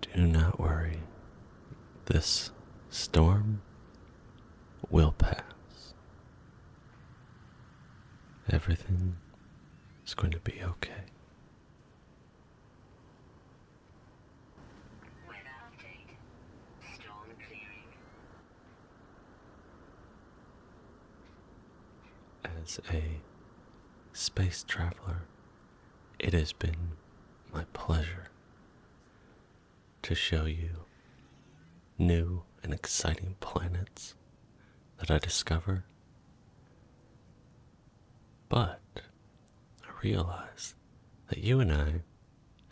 Do not worry, this storm will pass. Everything is going to be okay. Weather update. Storm clearing. As a space traveler it has been my pleasure to show you new and exciting planets that I discover. But I realize that you and I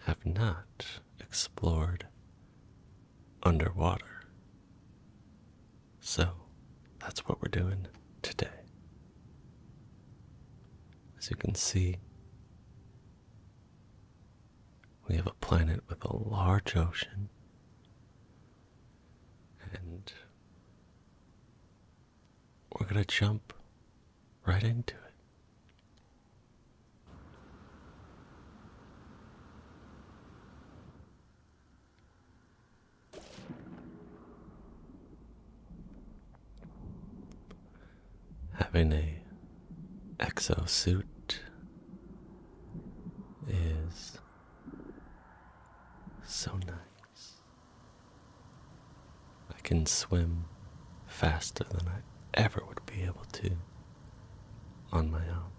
have not explored underwater. So that's what we're doing today. As you can see, we have a planet with a large ocean and we're going to jump right into it. Having a exosuit is so nice. I can swim faster than I ever would be able to on my own.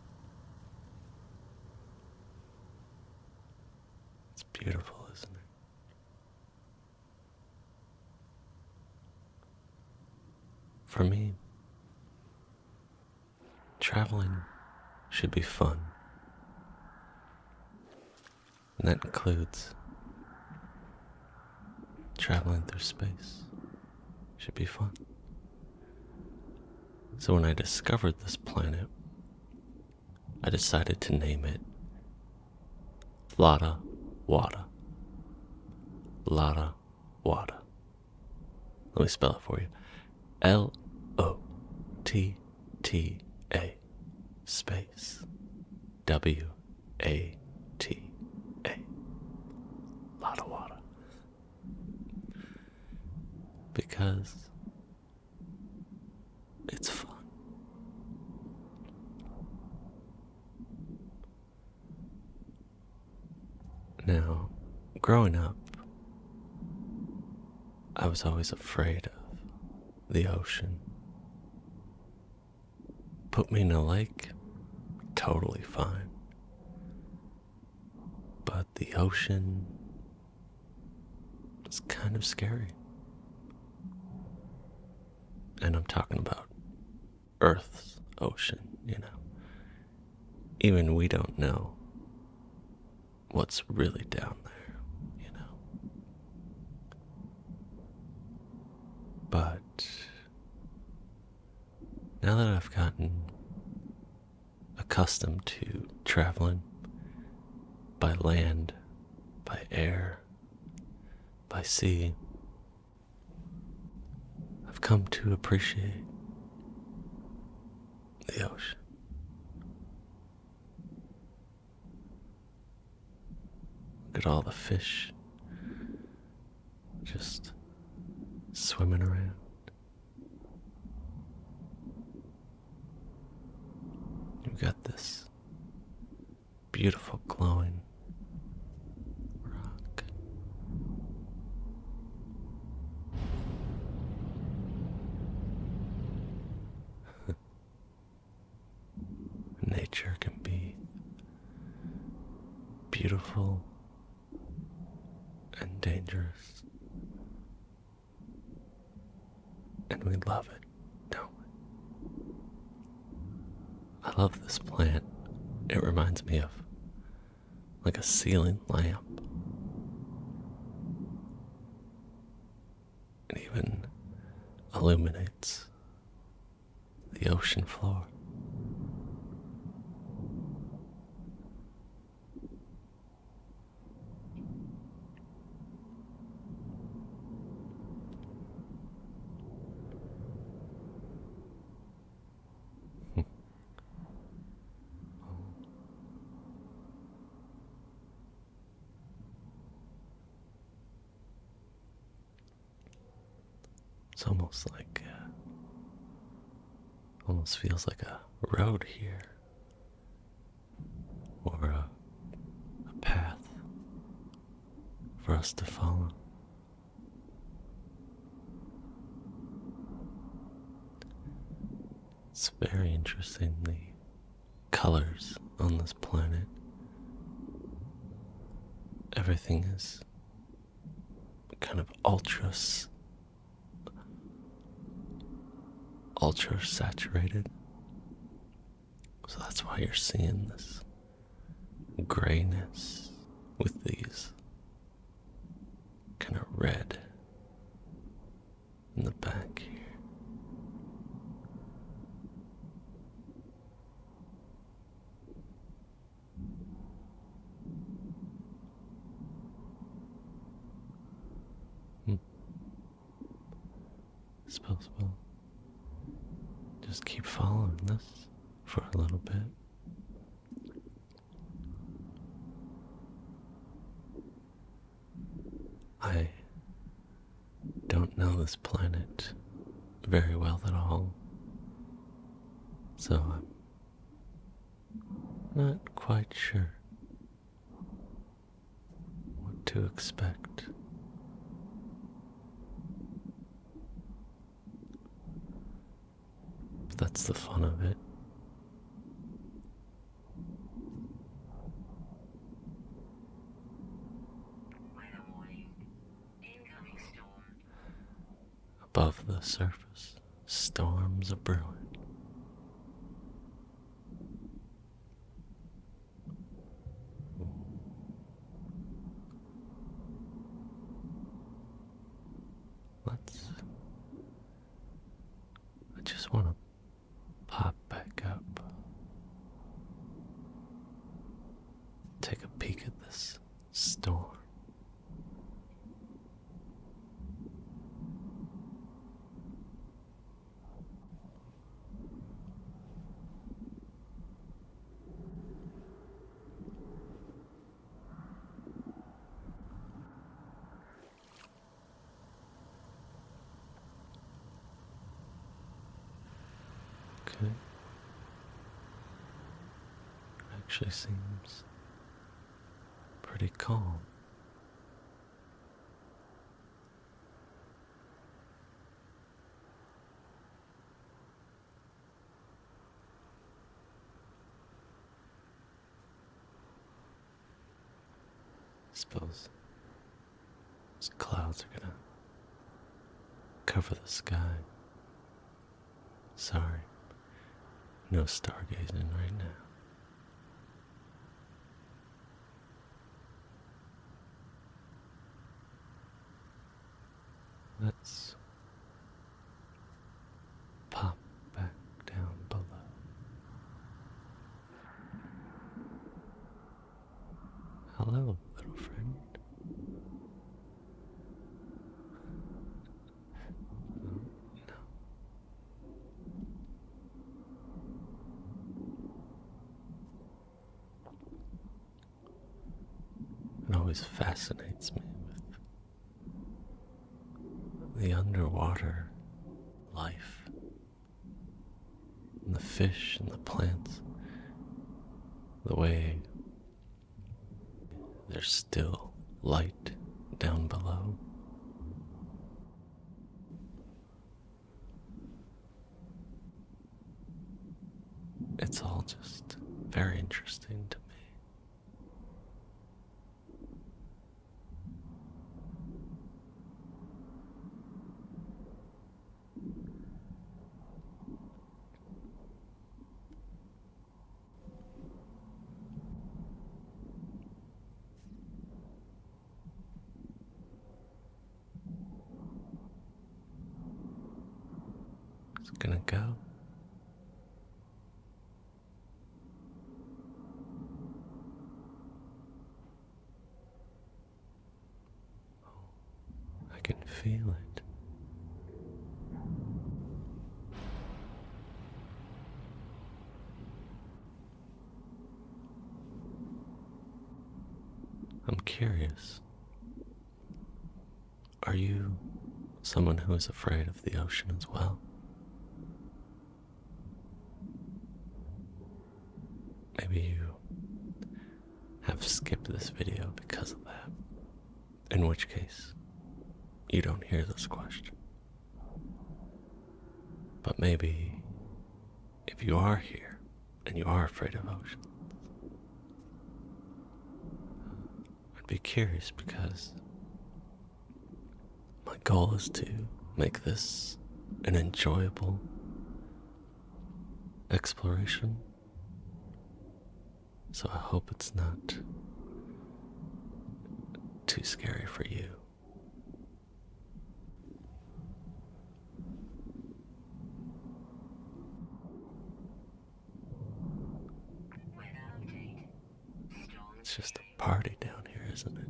It's beautiful, isn't it? For me, traveling should be fun. And that includes traveling through space. Should be fun. So when I discovered this planet, I decided to name it Lada Wada. Lada Wada. Let me spell it for you. L O T T A space W A T A. Lada Wada. Because it's fun. Now, growing up, I was always afraid of the ocean. Put me in a lake, totally fine. But the ocean it's kind of scary. And I'm talking about Earth's ocean, you know. Even we don't know what's really down there, you know. But now that I've gotten accustomed to traveling by land by air, by sea. I've come to appreciate the ocean. Look at all the fish just swimming around. You've got this beautiful glowing rock. Nature can be beautiful and dangerous and we love it, don't we? I love this plant. It reminds me of like a ceiling lamp. It even illuminates the ocean floor. It's almost like, uh, almost feels like a road here or a, path for us to follow. It's very interesting the colors on this planet. Everything is kind of ultra ultra saturated so that's why you're seeing this grayness with these kind of red in the back here. Hmm. Smells well. Just keep following this for a little bit. I don't know this planet very well at all, so I'm not quite sure what to expect. That's the fun of it. Above the surface, storms are brewing. Let's. I just want to pop back up. Take a peek at this storm. Okay. actually seems pretty calm suppose those clouds are gonna cover the sky. Sorry, no stargazing right now. Let's pop back down below. Hello, little friend. no. It always fascinates me with the underwater life, and the fish and the plants, the way there's still light down below. It's all just very interesting to me. It's gonna go. Oh, I can feel it. I'm curious. Are you someone who is afraid of the ocean as well? Maybe you have skipped this video because of that, in which case, you don't hear this question. But maybe if you are here and you are afraid of oceans, I'd be curious because my goal is to make this an enjoyable exploration. So I hope it's not too scary for you. It's just a party down here, isn't it?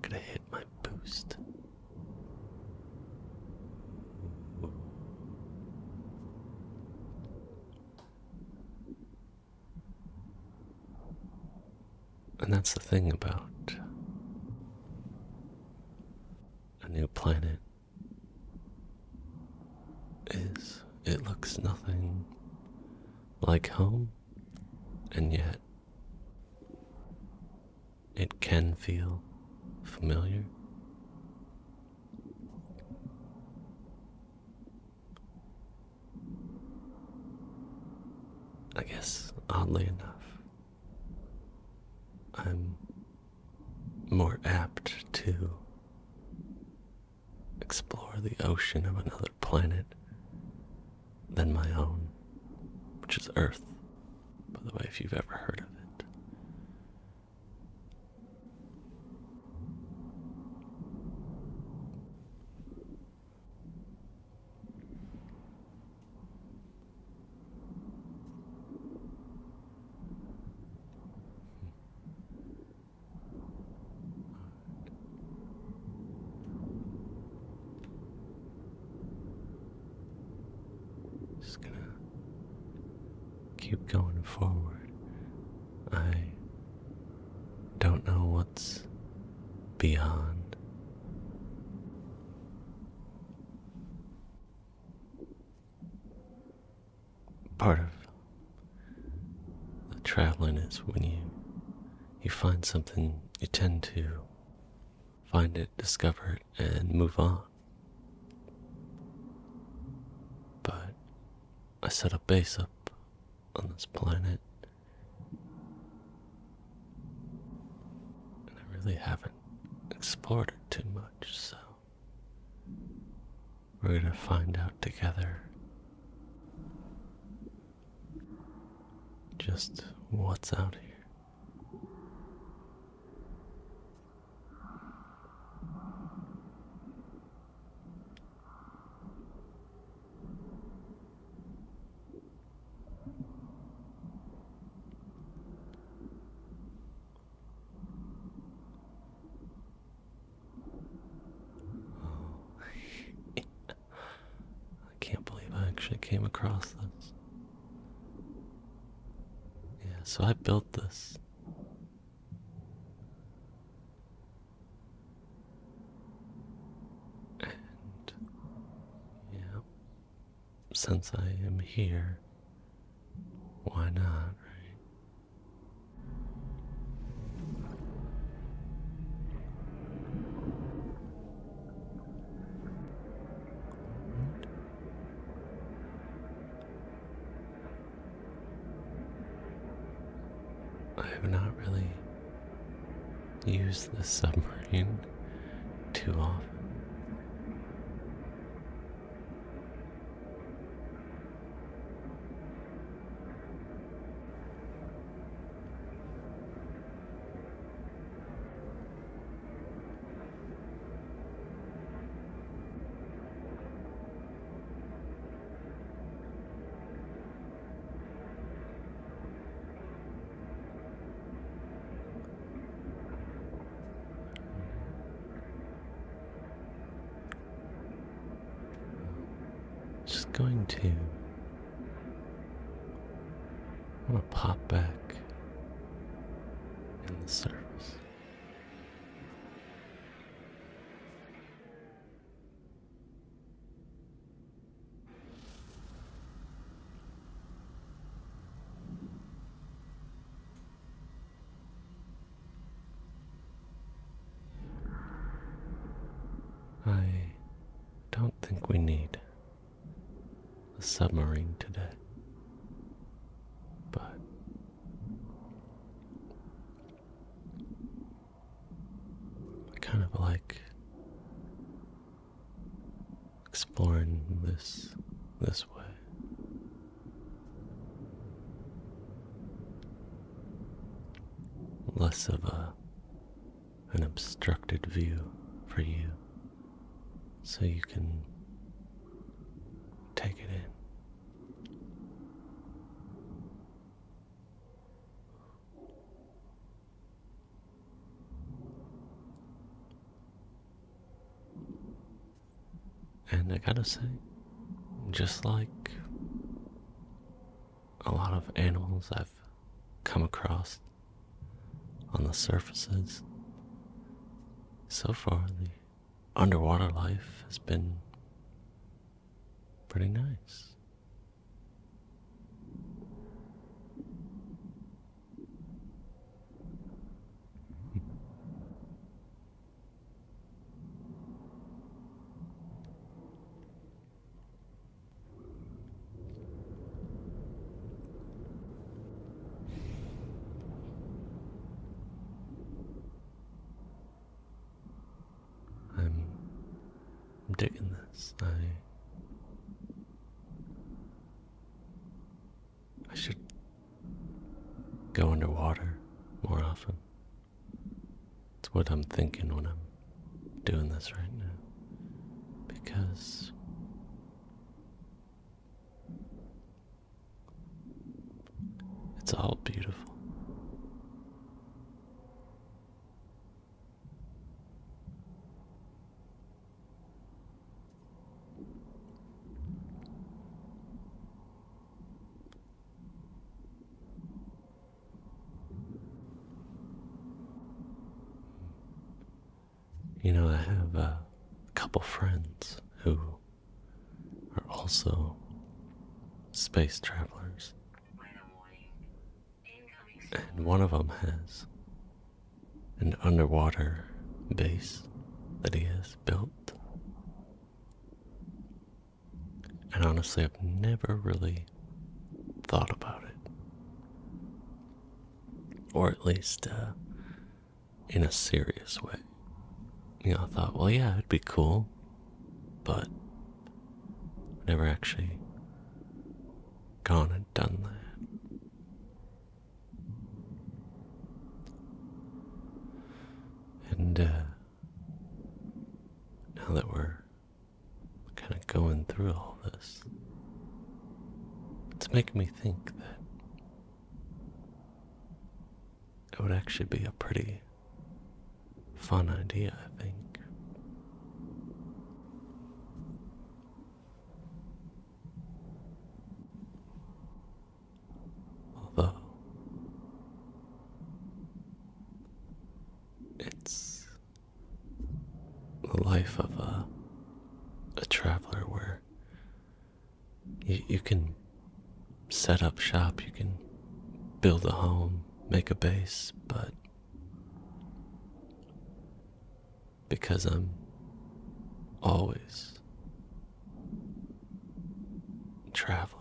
Could I hit my boost? And that's the thing about a new planet is it looks nothing like home and yet it can feel familiar I guess, oddly enough, I'm more apt to explore the ocean of another planet than my own, which is Earth, by the way, if you've ever heard of it. Just gonna keep going forward. I don't know what's beyond. Part of the traveling is when you you find something you tend to find it, discover it, and move on. But I set a base up on this planet, and I really haven't explored it too much, so we're gonna find out together just what's out here. I can't believe I actually came across this. Yeah, so I built this. And yeah, since I am here, why not, I have not really used the submarine too often. Just going to want to pop back in the surface. I don't think we need a submarine today, but I kind of like exploring this this way. Less of a an obstructed view for you so you can take it in. And I gotta say, just like a lot of animals I've come across on the surfaces, so far the underwater life has been pretty nice. I'm doing this. I I should go underwater more often. It's what I'm thinking when I'm doing this right now. Because it's all beautiful. You know, I have a couple friends who are also space travelers. And one of them has an underwater base that he has built. And honestly, I've never really thought about it. Or at least uh, in a serious way. You know, I thought, well, yeah, it'd be cool, but never actually gone and done that. And uh, now that we're kind of going through all this, it's making me think that it would actually be a pretty fun idea, I think. Although it's the life of a a traveler where you, can set up shop, you can build a home, make a base, but because I'm always traveling,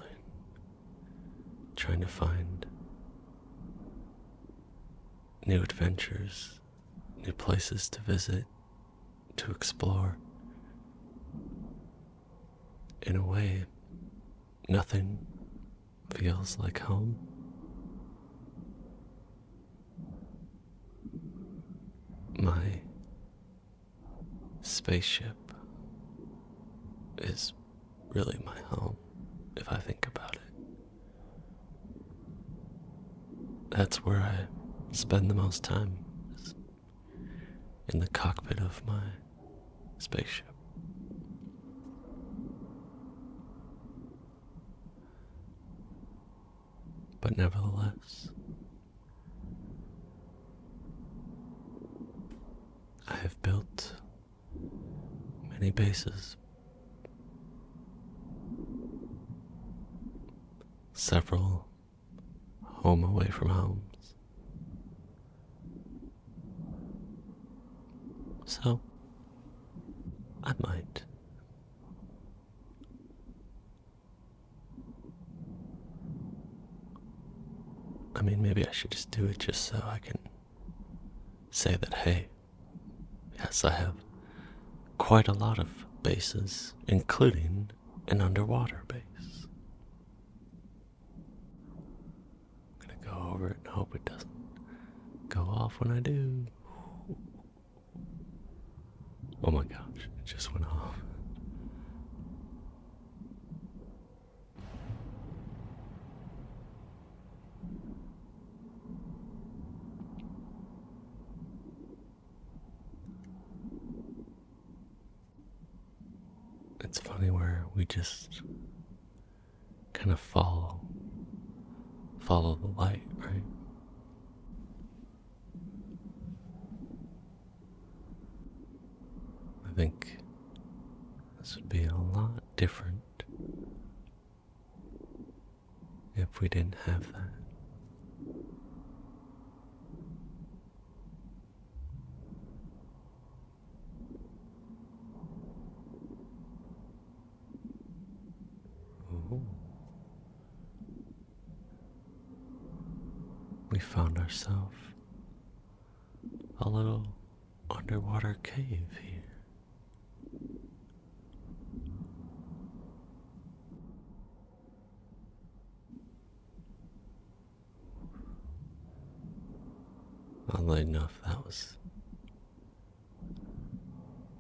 trying to find new adventures, new places to visit, to explore in a way, nothing feels like home. My spaceship is really my home, if I think about it. That's where I spend the most time, in the cockpit of my spaceship. But nevertheless, I have built many bases, several home away from homes. So, I might. I mean, maybe I should just do it just so I can say that, hey, yes, I have quite a lot of bases, including an underwater base. I'm gonna go over it and hope it doesn't go off when I do. Oh my gosh, it just went off it's funny where we just kind of follow follow the light, right? I think this would be a lot different if we didn't have that. We found ourselves a little underwater cave here. Oddly enough, that was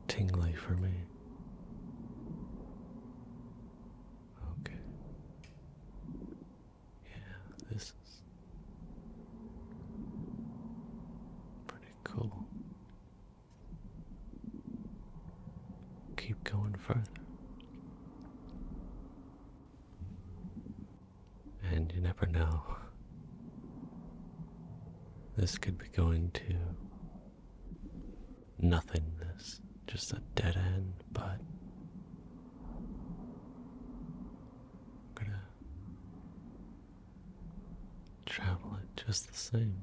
tingly for me. Okay. Yeah, this is pretty cool. Keep going further. And you never know. This could be going to nothingness, just a dead end, but I'm gonna travel it just the same.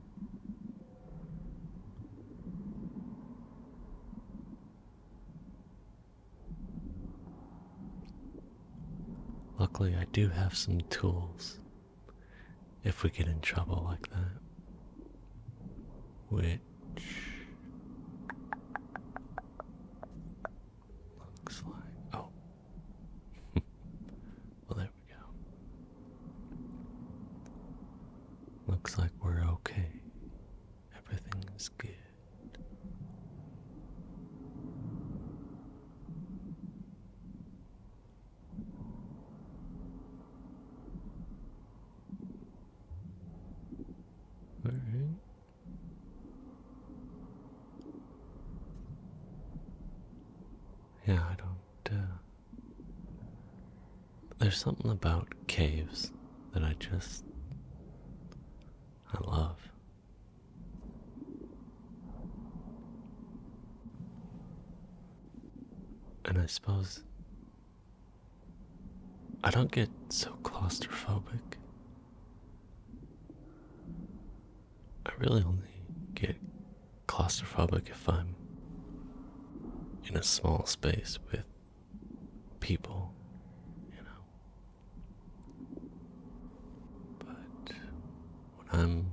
Luckily, I do have some tools if we get in trouble like that. Which looks like. Oh. well, there we go. Looks like we're okay. Everything's good. All right. Yeah, I don't. Uh, there's something about caves that I just. I love. And I suppose. I don't get so claustrophobic. I really only get claustrophobic if I'm in a small space with people, you know. But when I'm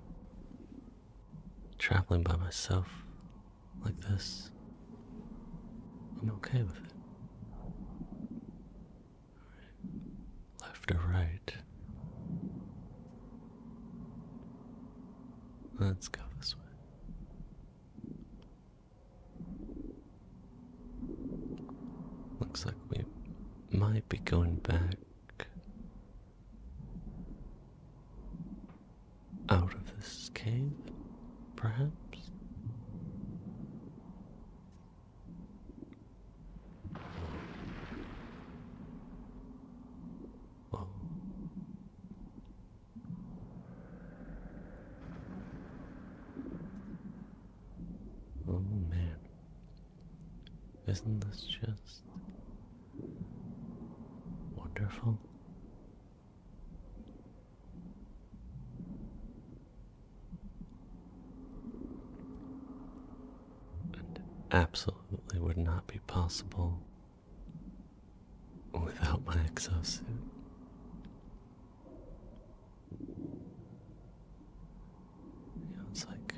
traveling by myself like this, I'm okay with it. Left or right? Let's go this way. Looks like we might be going back out of this cave, perhaps. Oh man, isn't this just wonderful? And absolutely would not be possible without my exosuit. it's like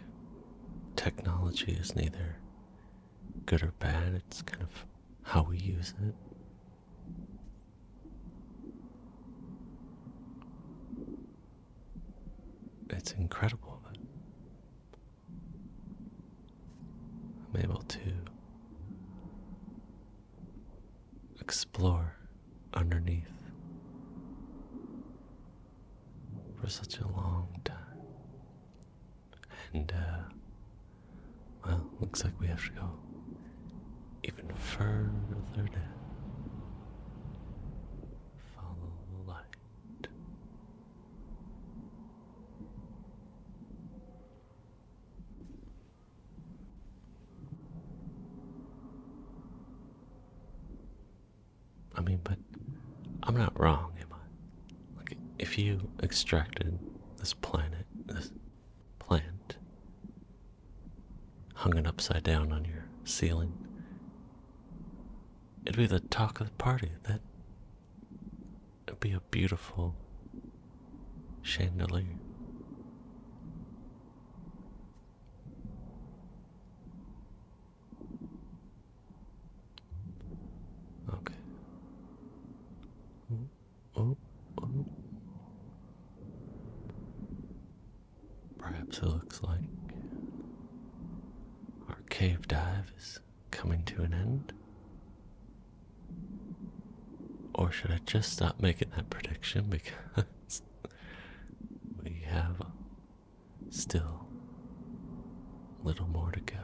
technology is neither good or bad, it's kind of how we use it. It's incredible that I'm able to explore underneath for such a long time. And, uh, well, looks like we have to go even further down. Follow the light. I mean, but I'm not wrong, am I? Like, if you extracted this planet, this plant, hung it upside down on your ceiling, it'd be the talk of the party. That would be a beautiful chandelier. Okay. Oh, oh, oh. Perhaps it looks like our cave dive is coming to an end. Or should I just stop making that prediction because we have still little more to go?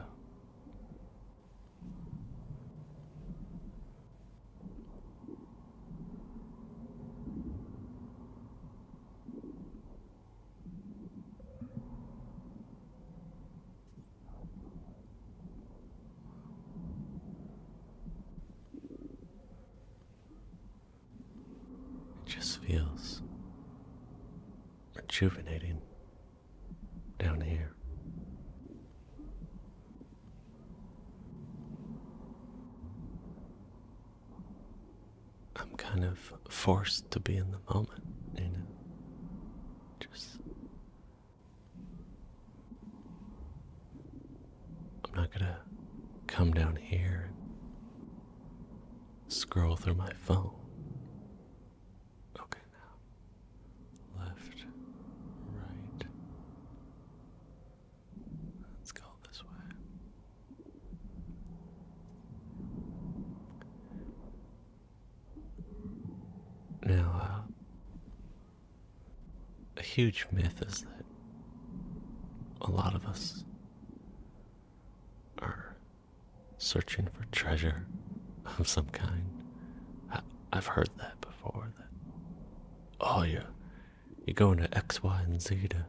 It just feels rejuvenating down here. I'm kind of forced to be in the moment, you know. Just I'm not gonna come down here and scroll through my phone. Okay, now left, right. Let's go this way. Now, uh, a huge myth is that a lot of us are searching for treasure of some kind. I, have heard that before. That oh, you are going to X, Y, and Z to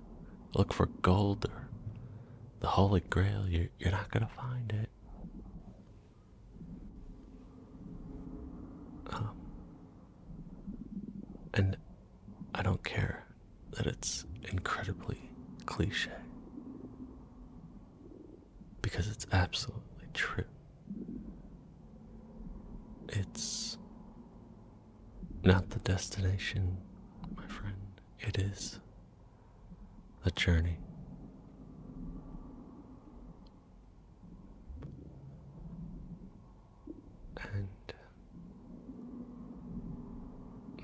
look for gold or the Holy Grail. You're not gonna find it. Um, and I don't care that it's incredibly cliche. Because it's absolutely true. It's not the destination, my friend, it is a journey. And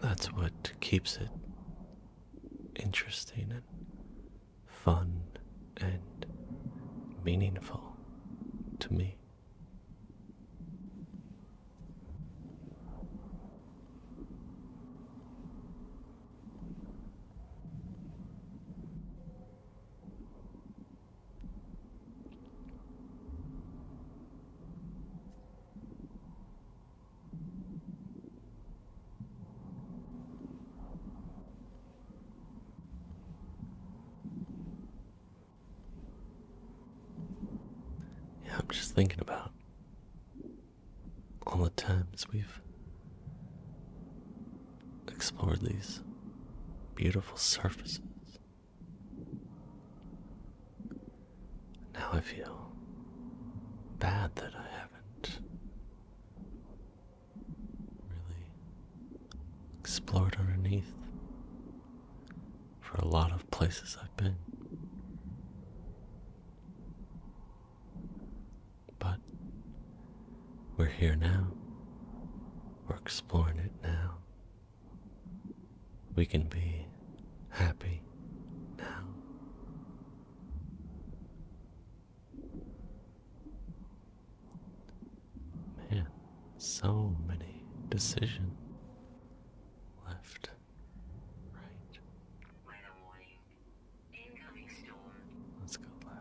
that's what keeps it interesting and fun and meaningful to me. Yeah, I'm just thinking about all the times we've explore these beautiful surfaces. Now I feel bad that I haven't really explored underneath for a lot of places I've been. But we're here now. We're exploring it now. We can be happy now. Man, so many decisions left, right. Let's go left.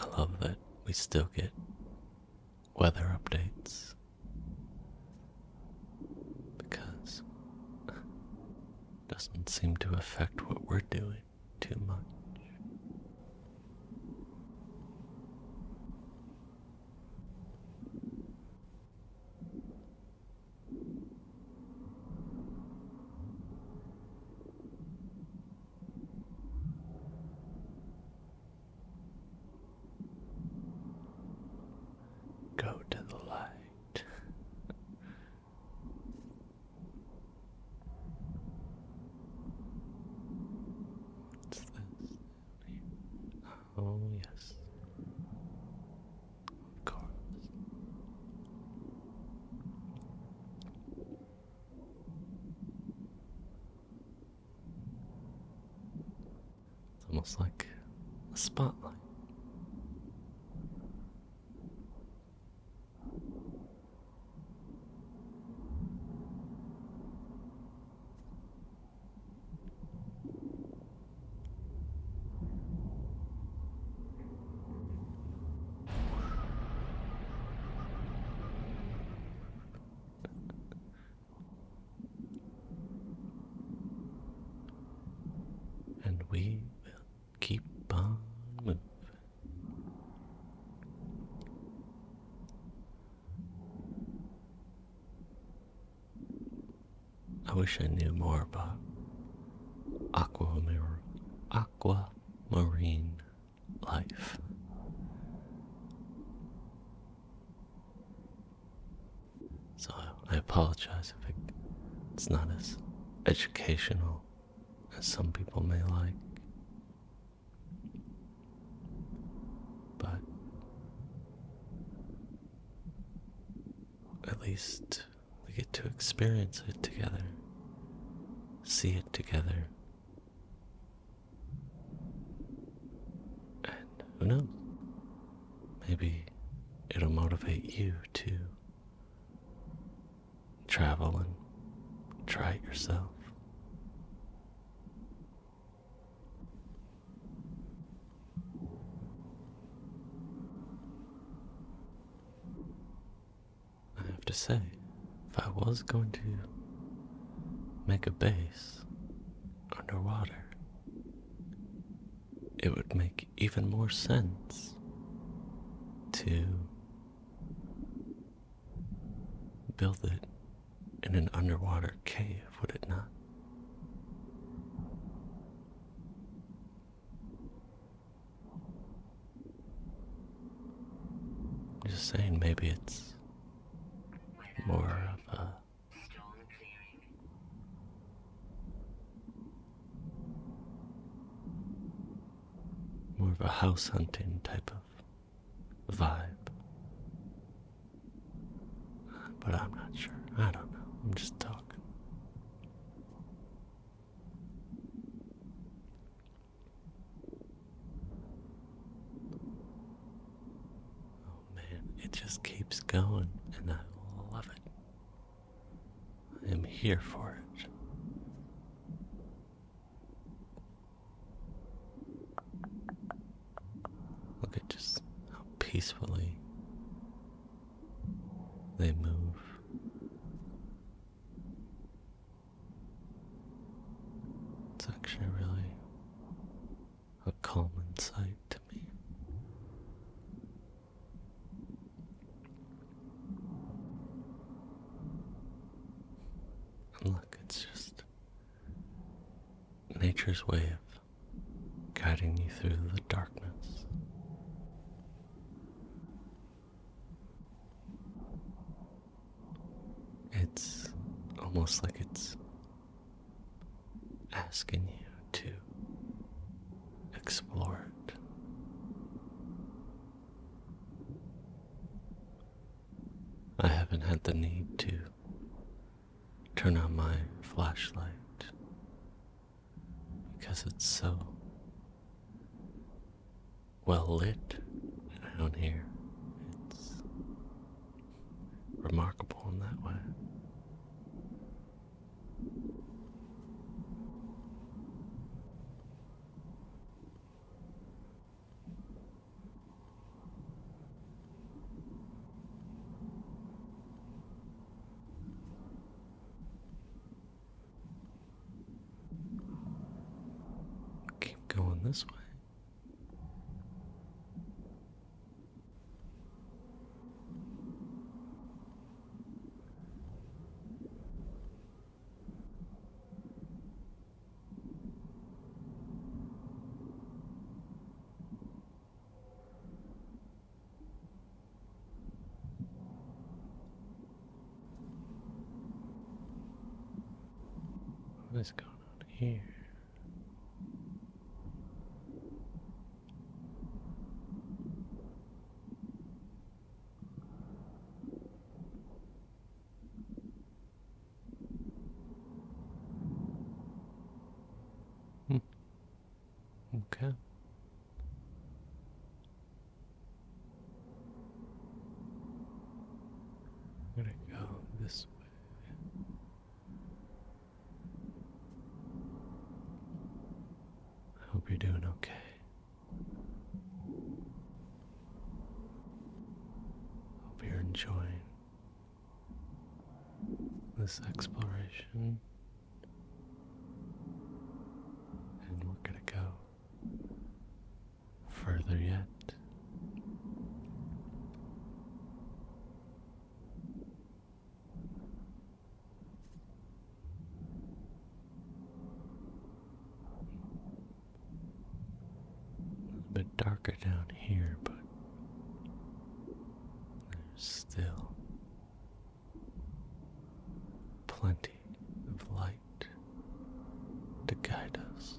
I love that we still get weather updates because doesn't seem to affect what we're doing too much. Go to the light. What's this? Oh, yes. Of course. It's almost like a spotlight and we will keep on moving. I wish I knew more about aqua marine life. So I apologize if it's not as educational as some people may like. But at least we get to experience it together, see it together. And who knows? Maybe it'll motivate you to travel and try it yourself. I have to say, if I was going to make a base underwater, it would make even more sense to build it in an underwater cave, would it not? just saying, maybe it's more of a more of a house hunting type of vibe. But I'm not sure. I don't know. I'm just talking. Oh man, it just keeps going, and I love it. I am here for it. Look at just how peacefully they move. It's actually really a common sight to me. look, it's just nature's wave guiding you through the darkness. It's almost like it's asking you to explore it. I haven't had the need to turn on my flashlight because it's so well lit down here. It's remarkable in that way. Keep going this way. What is going on here? Hmm. Okay. I'm gonna go this way. I hope you're doing okay. Hope you're enjoying this exploration, and we're going to go further yet. A bit darker down here, but there's still plenty of light to guide us.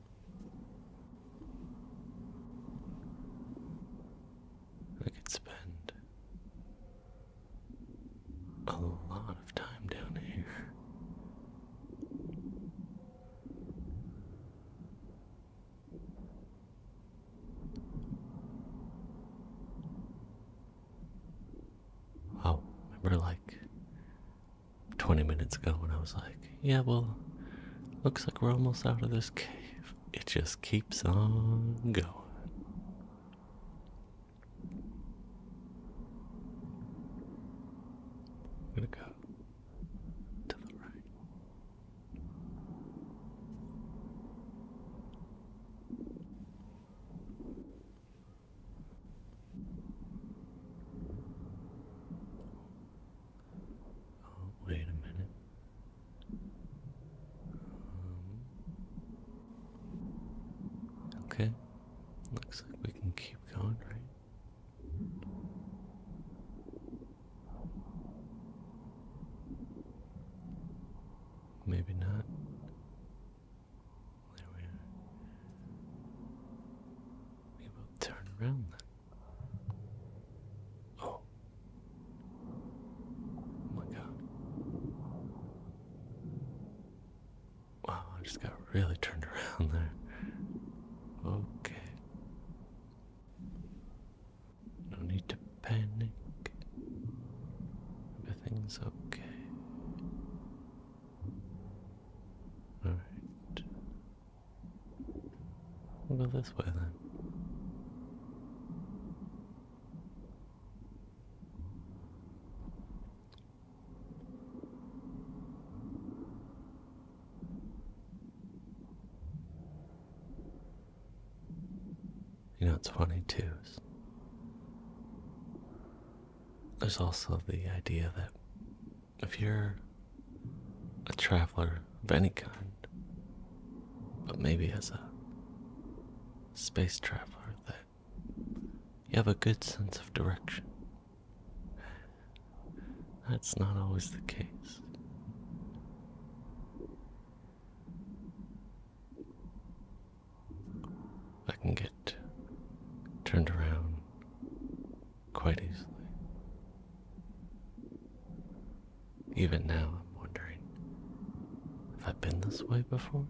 I could spend a lot of time down here. Oh, remember like 20 minutes ago when I was like, yeah, well, looks like we're almost out of this cave. It just keeps on going. I'm gonna go to the right. Oh, wait a minute. Um, okay. Looks like we can keep going, right? Maybe not. There we are. we'll turn around then. Oh. oh. my god. Wow, I just got really turned around there. Okay. No need to panic. Everything's okay. Alright. We'll go this way then. You know, it's funny too. There's also the idea that if you're a traveler of any kind, but maybe as a space traveler, that you have a good sense of direction. That's not always the case. I can get turned around quite easily. Even now, I'm wondering have I been this way before?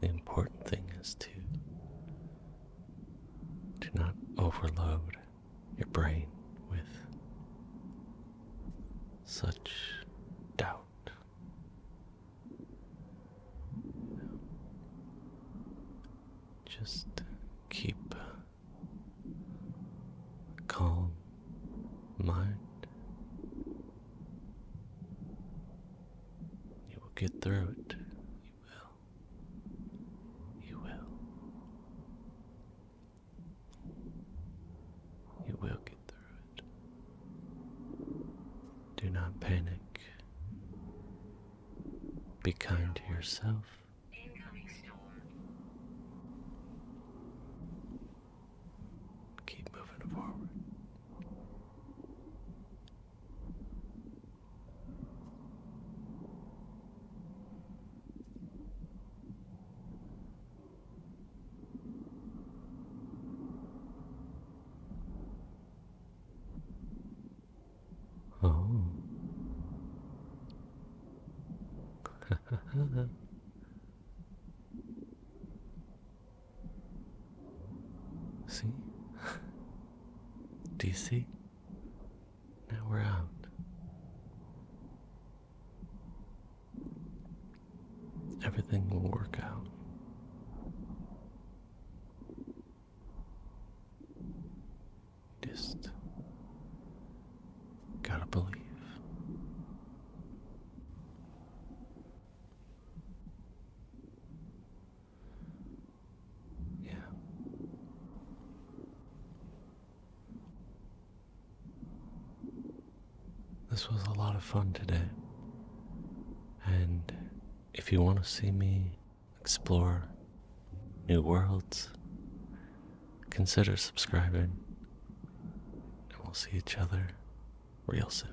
The important thing is to do not overload your brain with such doubt just keep a calm mind. You will get through it. You will. You will. You will get through do not panic. Be kind to yourself. Keep moving forward. Oh. see? Do you see? Now we're out. Everything will work out. Just gotta believe. Yeah. This was a lot of fun today. And if you want to see me explore new worlds, consider subscribing. And we'll see each other real soon.